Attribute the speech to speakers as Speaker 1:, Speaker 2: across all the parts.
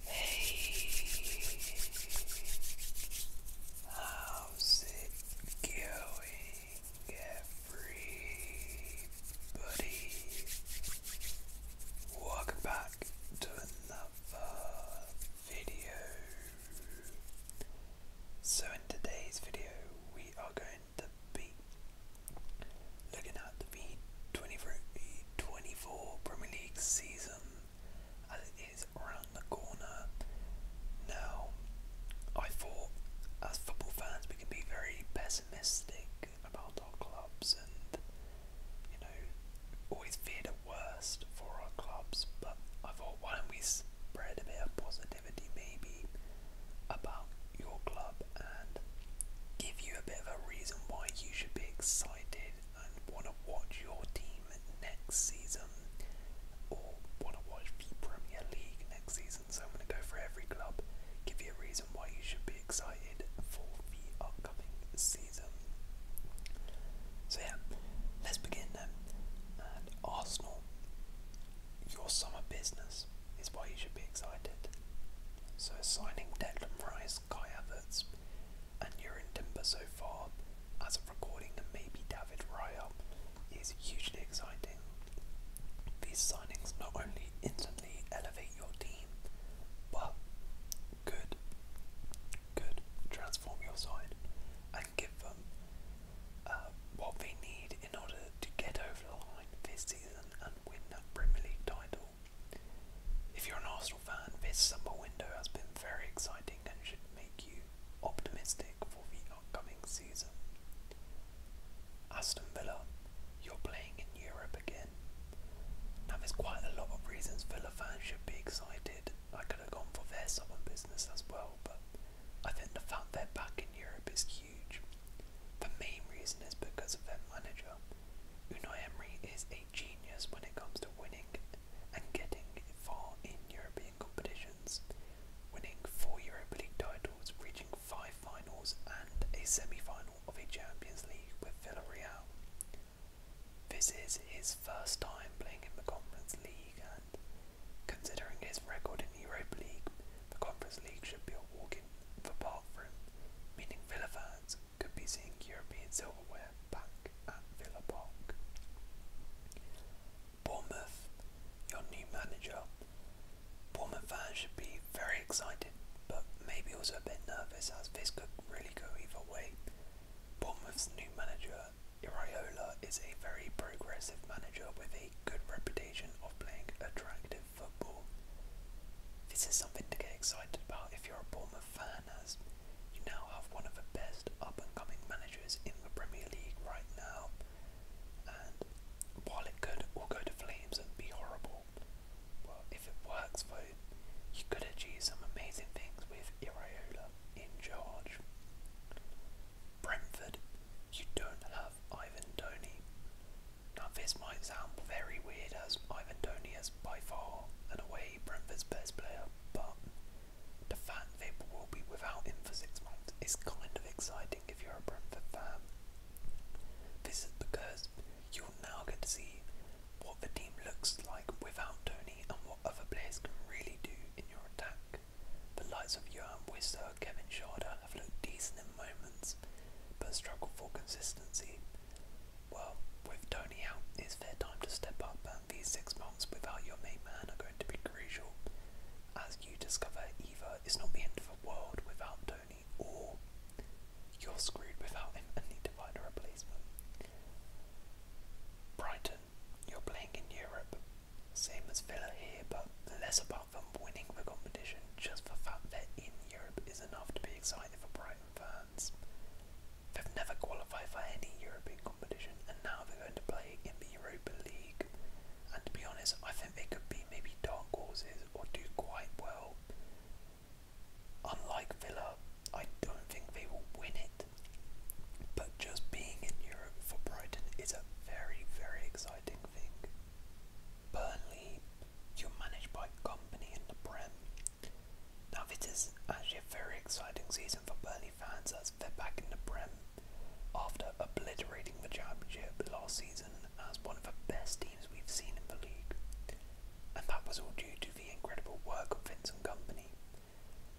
Speaker 1: Hey, how's it going, everybody? Welcome back to another video. So, in today's video, we are going to be looking at the V20, 24 Premier League season as it is around the corner. Now, I thought as football fans we can be very pessimistic about our clubs and, you know, always fear the worst for our clubs, but I thought why don't we spread a bit of positivity maybe about your club and give you a bit of a reason why you should be excited want to watch your team next season or want to watch the Premier League next season. So I'm going to go for every club, give you a reason why you should be excited for the upcoming season. So yeah, let's begin then. And Arsenal, your summer business is why you should be excited. So signing Declan Rice, Kai Havertz, and you're in Timber so far, as of recording, and maybe David Raya, is hugely exciting. These signings not only instantly elevate your team, but could, could transform your side and give them uh, what they need in order to get over the line this season and win that Premier League title. If you're an Arsenal fan, this summer window has been very exciting and should make you optimistic for the upcoming season. Aston Villa, you're playing in Europe again. Now there's quite a lot of reasons Villa fans should be excited. I could have gone for their southern business as well, but I think the fact they're back in Europe is huge. The main reason is because of their manager. Unai Emery is a genius when it comes to winning and getting far in European competitions, winning four Europa League titles, reaching five finals and a semi-final of a Champions League with Villarreal. This is his first time playing in the Conference League and considering his record in the Europa League, the Conference League should be a walk in the park for him, meaning Villa could be seeing European silverware back at Villa Park. Bournemouth, your new manager. Bournemouth fans should be very excited, but maybe also a bit nervous as this could really go either way. Bournemouth's new manager, Iriola, is a very progressive manager with a good reputation of playing attractive football. This is something to get excited about if you're a Bournemouth fan you now have one of the best up and coming managers in the Premier League right now. And while it could all go to flames and be horrible, well, if it works though, you could achieve some amazing things with Iriola in charge. Brentford, you don't have Ivan Tony. Now, this might sound very weird as Ivan Tony has by far and away Brentford's best player, but the fact they will be without him for six months is kind of exciting if you're a Brentford fan. This is because you'll now get to see what the team looks like without Tony and what other players can really do in your attack. The likes of Johan Wisser, Kevin Sharder have looked decent in moments, but struggle for consistency well, with Tony out, it's fair time to step up, and these six months without your main man are going to be crucial. As you discover, Eva it's not the end of the world without Tony, or you're screwed without him and need to find a replacement. Brighton, you're playing in Europe. Same as Villa here, but less about them winning the competition, just the fact that in Europe is enough to be excited for Brighton. Brighton fans. They've never qualified for any European competition and now they're going to play in the Europa League. And to be honest, I think they could be maybe dark horses or do quite well. Unlike Villa, I don't think they will win it. But just being in Europe for Brighton is a very, very exciting thing. Burnley, you're managed by a company in the Prem, now this is actually a very exciting season for Burnley fans as they're back in the Prem after obliterating the championship last season as one of the best teams we've seen in the league. And that was all due to the incredible work of Vince and company.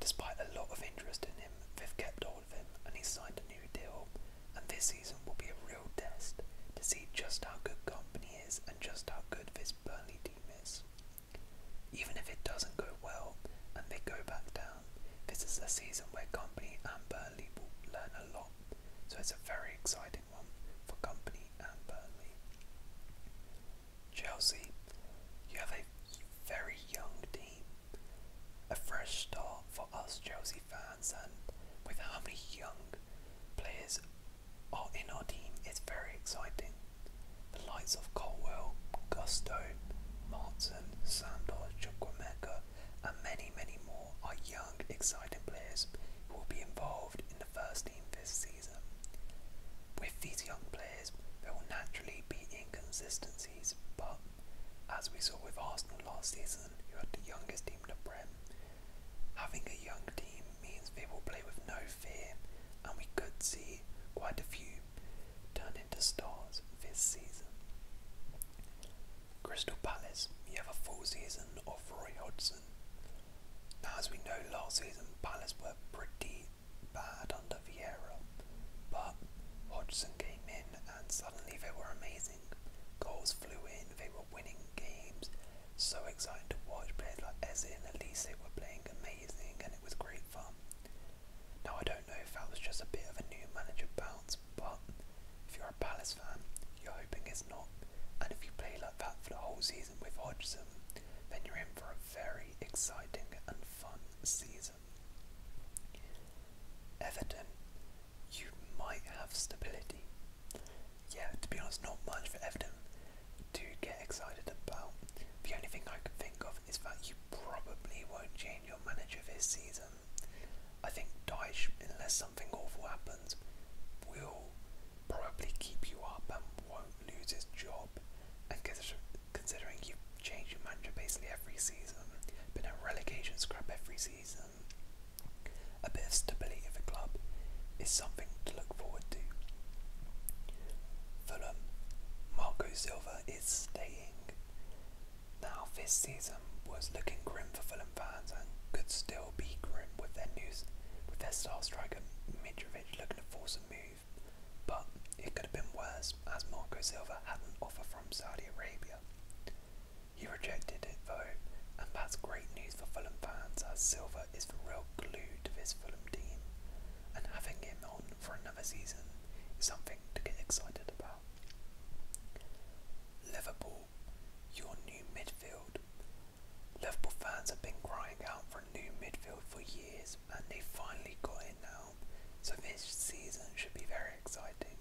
Speaker 1: Despite a lot of interest in him, they've kept hold of him and he's signed a new deal and this season will be a real test to see just how good company is and just how good this Burnley even if it doesn't go well and they go back down, this is a season where Company and Burnley will learn a lot, so it's a very exciting one for Company and Burnley. Chelsea, you have a very young team. A fresh start for us Chelsea fans, and with how many young players are in our team it's very exciting. The likes of Colwell, Gusto, Martin, Sandor, Chukwemeka, and many, many more are young, exciting players who will be involved in the first team this season. With these young players, there will naturally be inconsistencies, but as we saw with Arsenal last season, you had the youngest team in the Prem, Having a young team means they will play with no fear, and we could see quite a few turn into stars this season. Crystal Palace, you have a full season of Roy Hodgson. Now, as we know, last season Palace were pretty bad under Vieira, but Hodgson came in and suddenly they were amazing. Goals flew in, they were winning games, so exciting to watch. Players like Eze and Elise were playing amazing, and it was great fun. Now, I don't know if that was just a bit of a new manager bounce, but if you're a Palace fan, you're hoping it's not. And if you play like that for the whole season with Hodgson, then you're in for a very exciting and fun season. Everton, you might have stability. Yeah, to be honest, not much for Everton to get excited about. The only thing I can think of is that you probably won't change your manager this season. I think Dyche, unless something awful happens, will probably keep you up and won't lose his job. And considering you change your manager basically every season, been a relegation scrap every season, a bit of stability at the club is something to look forward to. Fulham, Marco Silva is staying. Now, this season was looking grim for Fulham fans and could still be grim with their news, with their star striker Mitrovic looking to force a move, but it could have been worse as Marco Silva had an offer from Saudi Arabia. He rejected it though, and that's great news for Fulham fans as Silva is the real glue to this Fulham team, and having him on for another season is something to get excited about. Liverpool, your new midfield. Liverpool fans have been crying out for a new midfield for years and they finally got it now, so this season should be very exciting.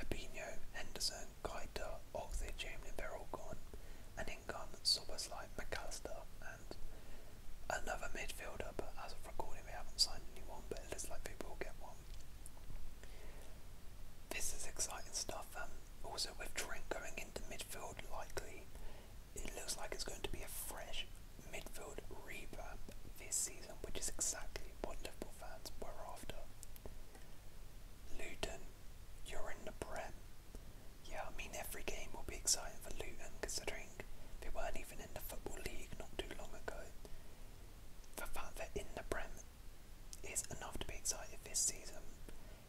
Speaker 1: Fabinho, Henderson, Kaita, Oxley, Chamberlain, they're gone, and think um, Sobbers like McAllister and another midfielder, but as of recording, we haven't signed anyone, but it looks like people get one. This is exciting stuff. Um, also, with Trent going into midfield, likely it looks like it's going to be a fresh midfield revamp this season, which is exactly what Liverpool fans were after. Luton, you're in the Prem. Yeah, I mean every game will be exciting for Luton considering they weren't even in the Football League not too long ago. The fact that in the Prem is enough to be excited this season.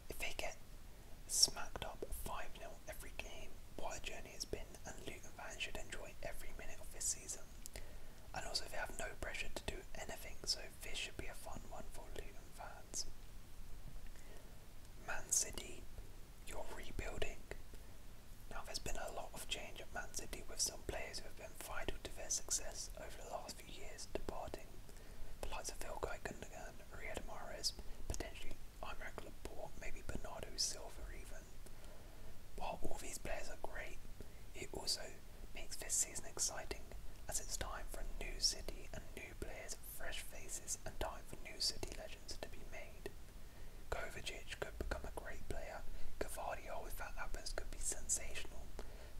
Speaker 1: If they get smacked up 5-0 every game, what a journey it's been and Luton fans should enjoy every minute of this season. And also they have no pressure to do anything so this should be a fun one for Luton fans. Man City, you're rebuilding. Now, there's been a lot of change at Man City with some players who have been vital to their success over the last few years departing. The likes of Vilkai Gundogan, Riyad Mahrez, potentially Imrak Laporte, maybe Bernardo Silva even. While all these players are great, it also makes this season exciting as it's time for a new city and new players fresh faces, and time for new City legends to be made. Kovacic could become a great player, Gavardio, if that happens, could be sensational,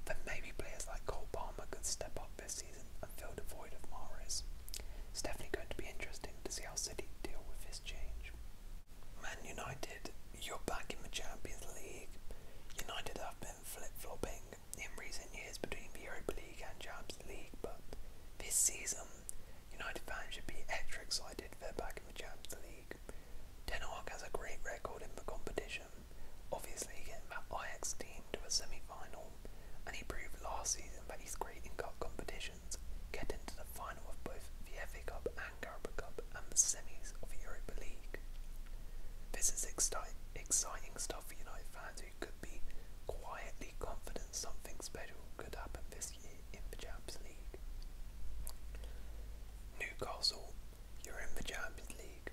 Speaker 1: then maybe players like Cole Palmer could step up this season and fill the void of Mares. It's definitely going to be interesting to see how City deal with this change. Man United, you're back in the Champions League. United have been flip-flopping in recent years between the Europa League and Champions League, but this season, United fans should be extra excited they're back in the Champions League. Denmark has a great record in the competition, obviously getting that IX team to a semi-final, and he proved last season that he's great in cup competitions, getting to the final of both the FA Cup and Carabao Cup and the semis of the Europa League. This is exciting stuff for United fans who could be quietly confident something special could happen this year in the Champions League. Newcastle, you're in the Champions League.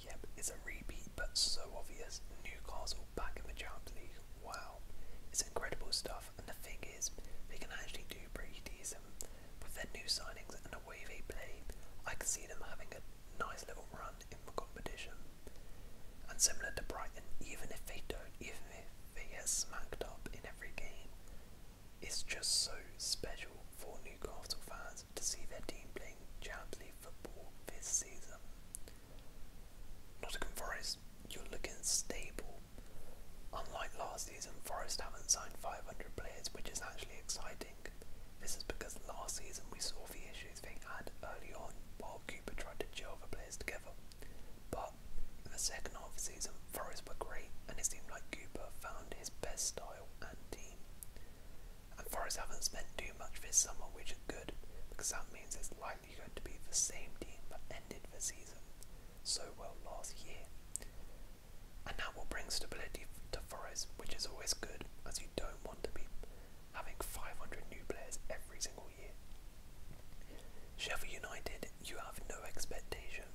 Speaker 1: Yep, it's a repeat, but so obvious. Newcastle back in the Champions League. Wow, it's incredible stuff. And the thing is, they can actually do pretty decent with their new signings and the way they play. I can see them having a nice little run in the competition. And similar to Brighton, even if they don't, even if they get smacked up in every game, it's just so special for Newcastle fans to see their team playing Champions League football this season. Nottingham Forest, you're looking stable. Unlike last season, Forest haven't signed 500 players, which is actually exciting. This is because last season we saw the issue. Shoes thing, and early on, while Cooper tried to gel the players together. But in the second half of the season, Forest were great, and it seemed like Cooper found his best style and team. And Forest haven't spent too much this summer, which is good, because that means it's likely going to be the same team that ended the season so well last year. And that will bring stability to Forest, which is always good, as you don't want to be having 500 new players every single year. Sheffield United, you have no expectation.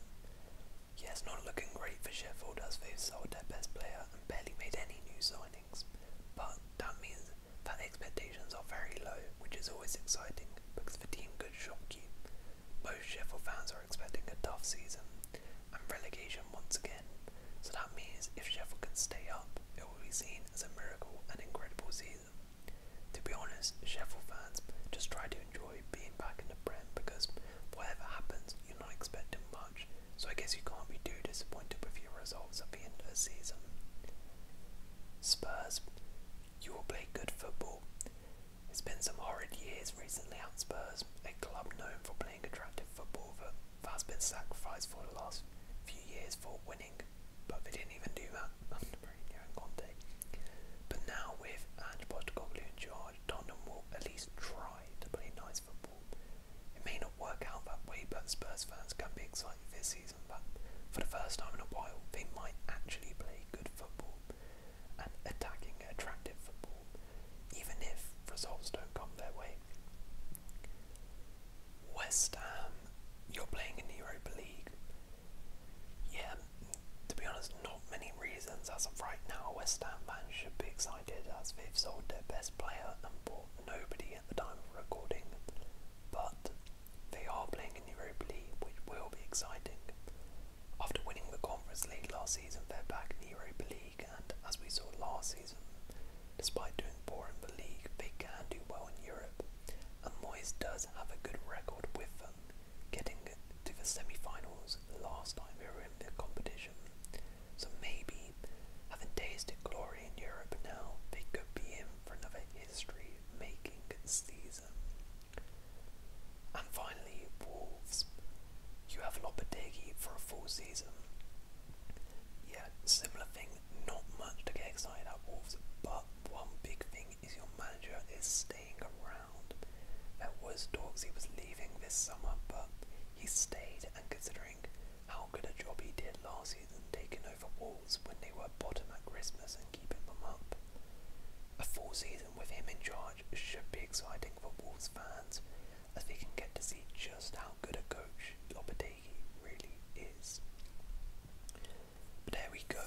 Speaker 1: Yes, not looking great for Sheffield as they've sold their best player and barely made any new signings, but that means that the expectations are very low, which is always exciting because the team could shock you. Most Sheffield fans are expecting a tough season and relegation once again, so that means if Sheffield can stay up, it will be seen as a miracle and incredible season. To be honest, Sheffield fans just try to enjoy being back in the Prem because whatever happens, you're not expecting much, so I guess you can't be too disappointed with your results at the end of the season. Spurs, you will play good football. It's been some horrid years recently at Spurs, a club known for playing attractive football that has been sacrificed for the last few years for winning, but they didn't even do that under Mourinho and Conte. But now with Ange Postecoglou in charge, Tottenham will at least try to play nice football. It may not work out that way, but Spurs fans can be excited this season that for the first time in a while they might actually play good football and attacking, attractive football, even if results don't come their way. West Ham, you're playing in the Europa League. Yeah, to be honest, not many reasons as of right now. West Ham fans should be excited as they've sold their best player and bought nobody at the time of recording. But they are playing in the Europa League, which will be exciting. After winning the Conference League last season, they're back in the Europa League and as we saw last season, despite doing poor in the league, they can do well in Europe, and Moyes does have a good record with them, getting to the semi-finals last time we were in the competition. So maybe, having tasted glory in Europe now, they could be in for another history-making season. And finally, Wolves. You have Lopetegui for a full season, yeah, similar thing, not much to get excited about Wolves, but one big thing is your manager is staying around. That was talks he was leaving this summer, but he stayed and considering how good a job he did last season taking over Wolves when they were bottom at Christmas and keeping them up. A full season with him in charge should be exciting for Wolves fans, as they can get to see just how good a coach Lopetegui really is. there we go.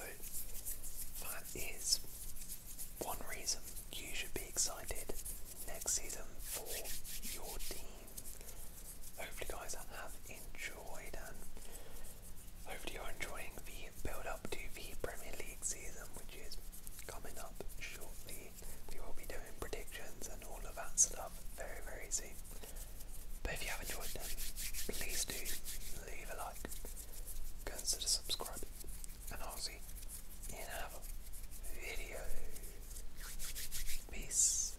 Speaker 1: That is one reason you should be excited next season for your team. Hopefully, guys, I have enjoyed and hopefully you're enjoying the build up to the Premier League season, which is coming up shortly we will be doing predictions and all of that stuff very, very soon. But if you have enjoyed them, please do leave a like, consider subscribing, and I'll see you in another video. Peace.